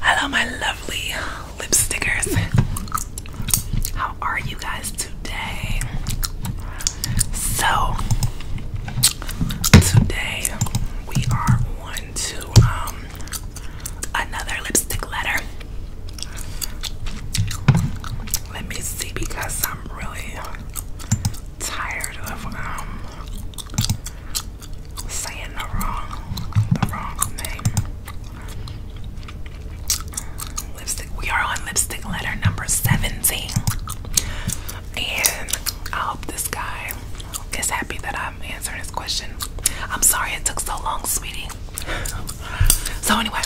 Hello, my lovely lipstickers. How are you guys today? So, today we are on to um, another lipstick letter. Let me see because I'm really tired of um saying the wrong, the wrong name. Lipstick. We are on lipstick letter number 17. And I hope this guy is happy that I'm answering his question. I'm sorry it took so long, sweetie. So anyway,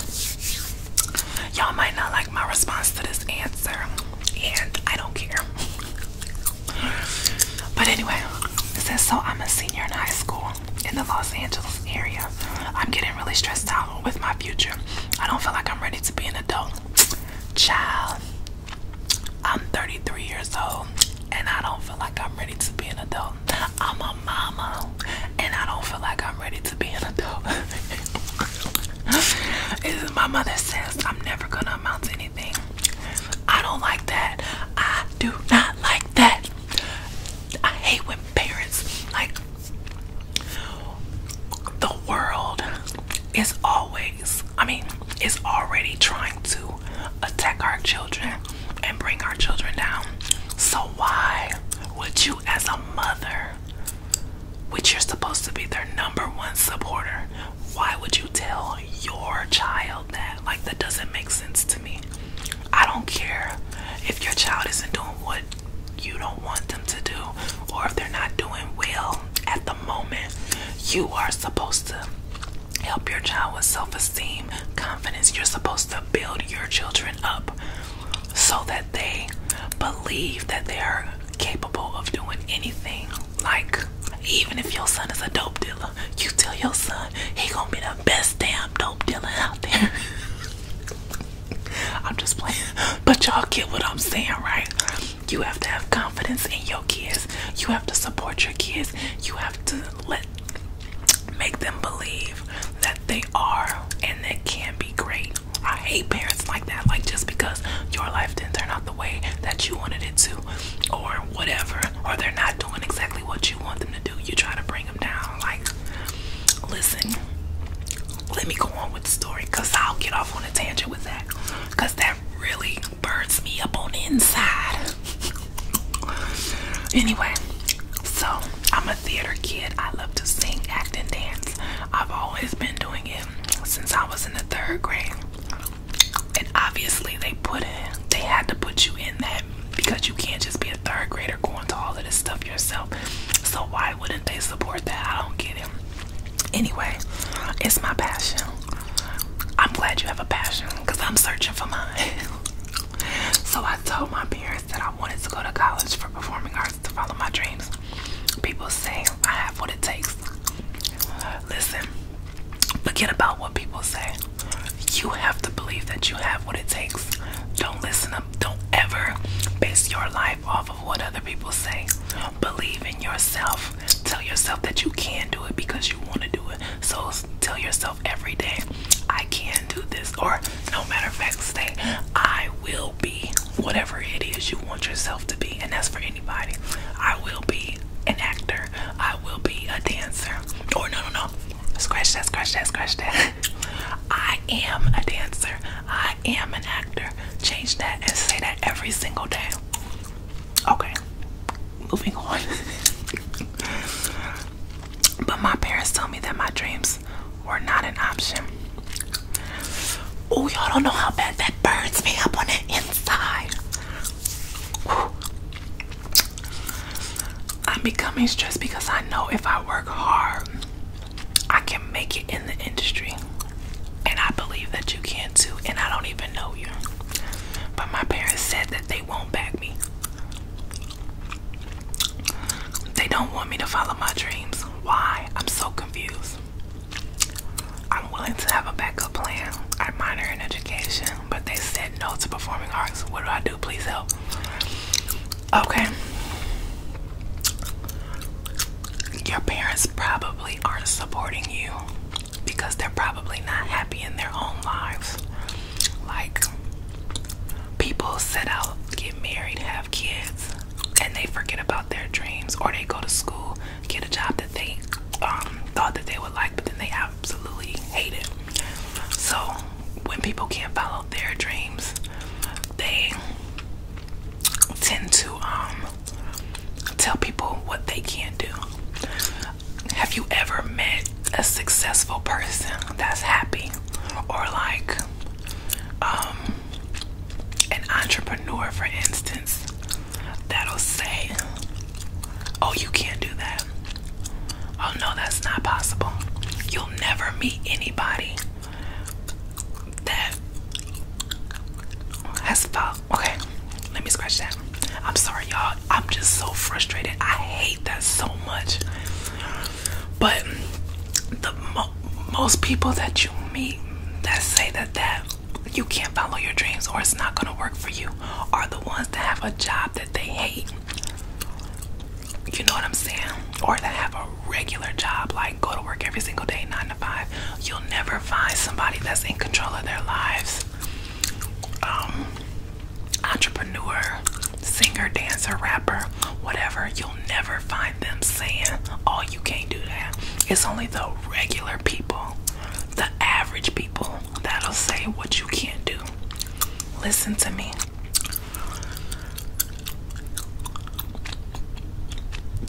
y'all might not like my response to this answer, and I don't care. But anyway, it says, so I'm a senior in high school in the Los Angeles area. I'm getting really stressed out with my future. I don't feel like I'm ready to be an adult. Child, I'm 33 years old and I don't feel like I'm ready to be an adult. I'm a mama and I don't feel like I'm ready to be an adult. my mother says I'm never gonna amount to anything. I don't like that. I do not like that. I hate when parents like the world is always, I mean, is already trying to attack our children and bring our children down. So, why would you, as a mother, which you're supposed to be their number one supporter, why would you tell your child? that? Like, that doesn't make sense to me. I don't care if your child isn't doing what you don't want them to do or if they're not doing well at the moment. You are supposed to help your child with self esteem, confidence. You're supposed to build your children up so that they believe that they are capable of doing anything like, even if your son is a dope dealer, you tell your son he gonna be the best damn dope dealer out there. I'm just playing. But y'all get what I'm saying, right? You have to have confidence in your kids. You have to support your kids. You have to let make them believe that they are and they can be great. I hate parents like that. Like just because your life didn't turn out the way that you wanted it to or whatever, or they're not doing exactly what you want them to do, you try to bring them down. Like, listen, let me go on with the story because I'll get off on a tangent with that because that really burns me up on the inside. anyway, so I'm a theater kid, I love to sing, act, and dance. I've always been doing it since I was in the third grade. And obviously they put in they had to put you in that because you can't just be a third grader going to all of this stuff yourself. So why wouldn't they support that? I don't get it. Anyway, it's my passion. I'm glad you have a passion because I'm searching for mine. so I told my parents that I wanted to go to college for performing arts to follow my dreams. People say I have what it takes. Listen, Forget about what people say. You have to believe that you have what it takes. Don't listen up. Don't ever base your life off of what other people say. Believe in yourself. Tell yourself that you can do it because you want to do it. So tell yourself every day, I can do this. Or, no matter of fact, say, I will be whatever it is you want yourself to be. And that's for anybody. I will be an actor. I will be a dancer. Or oh, no, no, no. Scratch that, scratch that, scratch that. I am a dancer. I am an actor. Change that and say that every single day. Okay, moving on. but my parents told me that my dreams were not an option. Oh, y'all don't know how bad that burns me up on the inside. I'm becoming stressed because I know if I work hard, I can make it in the industry. And I believe that you can too, and I don't even know you. But my parents said that they won't back me. They don't want me to follow my dreams. Why? I'm so confused. I'm willing to have a backup plan. I minor in education, but they said no to performing arts. What do I do? Please help. Okay. Your parents probably aren't supporting you because they're probably not happy in their own lives. Like, people set out, get married, have kids, and they forget about their dreams, or they go to school get a job that they um, thought that they would like, but then they absolutely hate it. So when people can't follow their dreams, they tend to um, tell people what they can't do. Have you ever met a successful person that's happy or like um, an entrepreneur, for instance? that'll say, Oh, you can't do that. Oh, no, that's not possible. You'll never meet anybody that has felt. Okay, let me scratch that. I'm sorry, y'all. I'm just so frustrated. I hate that so much. But the most people that you meet that say that that you can't follow your dreams or it's not going to work for you are the ones that have a job that they hate. You know what I'm saying? Or that have a regular job, like go to work every single day, nine to five. You'll never find somebody that's in control of their lives. Um, entrepreneur, singer, dancer, rapper, whatever. You'll never find them saying, "Oh, you can't do that." It's only the regular people, the average people that'll say what you can't do. Listen to me.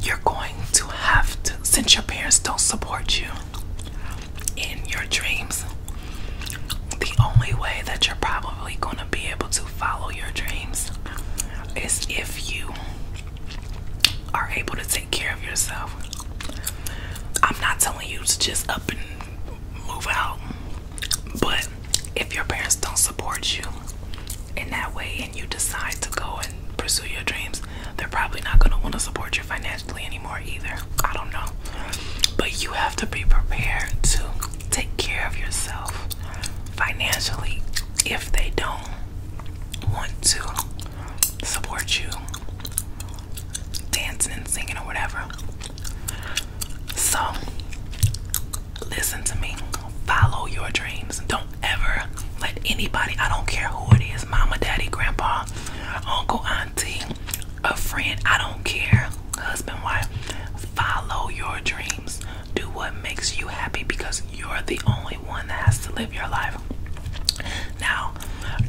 You're going to have to, since your parents don't support you in your dreams, the only way that you're probably going to be able to follow your dreams is if you are able to take take care of yourself. I'm not telling you to just up and move out, but if your parents don't support you in that way and you decide to go and pursue your dreams, they're probably not going to want to support you financially anymore either. I don't know. But you have to be prepared to take care of yourself financially if they don't want to support you dancing and singing or whatever. So, listen to me. Follow your dreams. Don't ever let anybody, I don't care who it is, mama, daddy, grandpa, uncle, auntie, a friend, I don't care, husband, wife. Follow your dreams. Do what makes you happy because you're the only one that has to live your life. Now,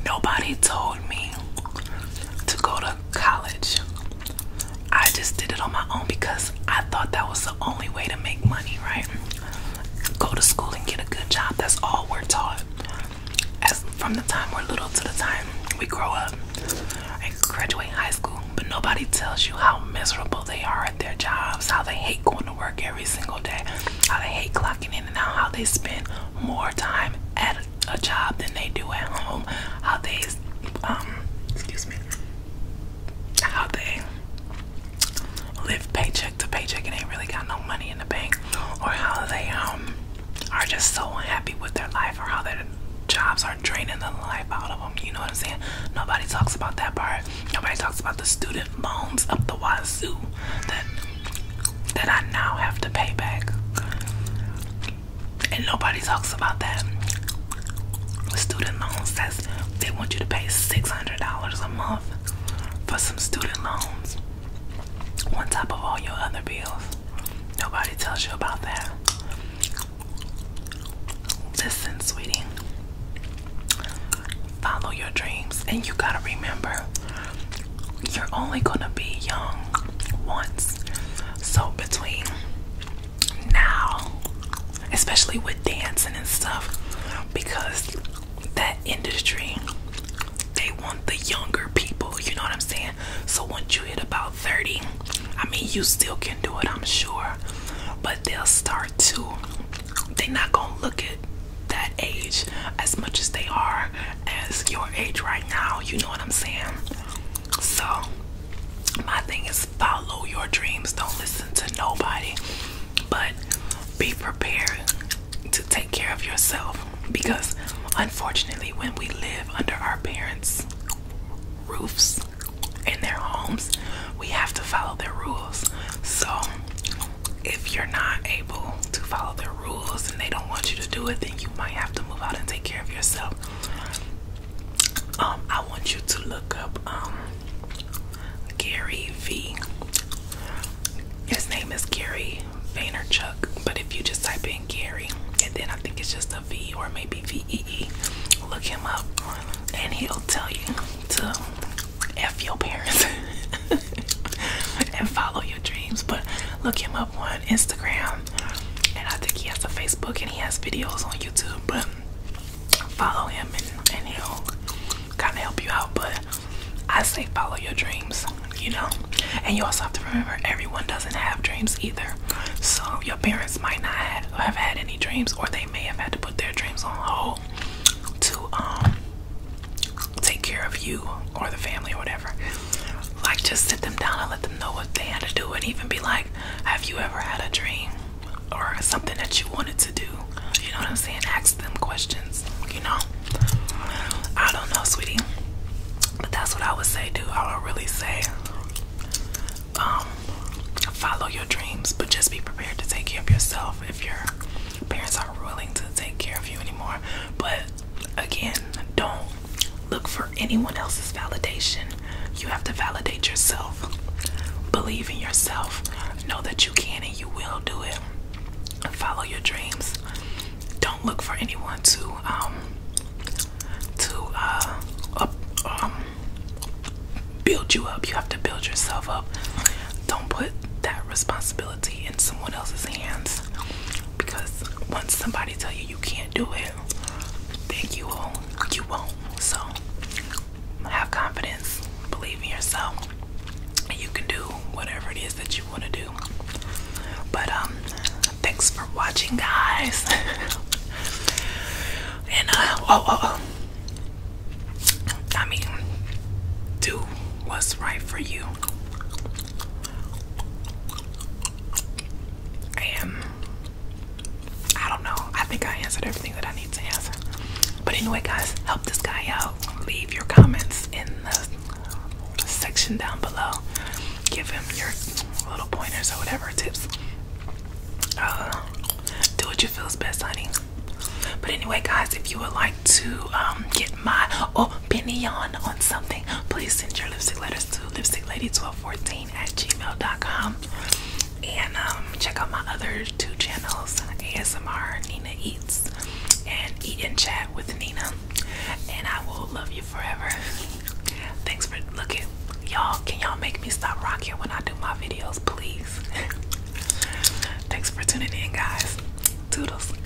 Nobody told me to go to college. I just did it on my own because I thought that was the only way to make money, right? Go to school and get a good job. That's all we're taught. As from the time we're little to the time we grow up and graduate high school, but nobody tells you how miserable they are at their jobs, how they hate going to work every single day, how they hate clocking in now how they spend more time at a, a job than they do at home. How they, um, excuse me, how they live paycheck to paycheck and ain't really got no money in the bank, or how they um are just so unhappy with their life, or how their jobs are draining the life out of them. You know what I'm saying? Nobody talks about that part. Nobody talks about the student loans up the wazoo that that I now have to pay back. And nobody talks about that. Student loans, that's they want you to pay $600 a month for some student loans on top of all your other bills. Nobody tells you about that. Listen, sweetie, follow your dreams, and you gotta remember you're only gonna be young once. So between now, especially with dancing and stuff, because that industry they want the younger people, you know what I'm saying? So once you hit about 30, I mean you still can do it, I'm sure. But they'll start to they're not gonna look at that age as much as they are as your age right now. You know what I'm saying? So, my thing is follow your dreams. Don't listen to nobody, but be prepared to take care of yourself because unfortunately, when we live under our parents' roofs in their homes, we have to follow their rules. So, if you're not able to follow their rules and they don't want you to do it, then you might have to move out and take care of yourself. Um, I want you to look up um, Gary V. His name is Gary Vaynerchuk, but if you just type in Gary and then I think it's just a V or maybe V E E, look him up and he'll tell you to F your parents. and follow your dreams. But look him up on Instagram, and I think he has a Facebook and he has videos on YouTube. But follow him, and, he'll kind of help you out. But I say follow your dreams, you know. And you also have to remember everyone doesn't have dreams either. So your parents might not have had any dreams, or they may have had to put their dreams on hold to um take care of you or the family or whatever. Like, just sit them down and let them know what they had to do, and even be like, Have you ever had a dream or something that you wanted to do? You know what I'm saying? Ask them questions, you know. I don't know, sweetie, but that's what I would say, dude. I would really say, um, follow your dreams, but just be prepared to take care of yourself if your parents aren't willing to take care of you anymore. But Again, don't look for anyone else's validation. You have to validate yourself. Believe in yourself. Know that you can and you will do it. Follow your dreams. Don't look for anyone to um, to uh, um, build you up. You have to build yourself up. Don't put that responsibility in someone else's hands because once somebody tell you you can't do it, then you won't. You won't. So have confidence, believe in yourself, and you can do whatever it is that you want to do. But um, thanks for watching, guys. and uh, oh, oh, oh. I mean, do what's right for you. And um, I don't know. I think I answered everything that I need to answer. But anyway, guys, help this guy out. Leave your comments in the section down below. Give him your little pointers or whatever tips. Uh, do what you feel is best, honey. But anyway, guys, if you would like to um, get my opinion on something, please send your lipstick letters to lipsticklady1214 at gmail.com. And um, check out my other two channels ASMR Nina Eats and Eat and Chat with Nina. And I will love you forever. Thanks for looking. Y'all, can y'all make me stop rocking when I do my videos, please? Thanks for tuning in, guys. Toodles.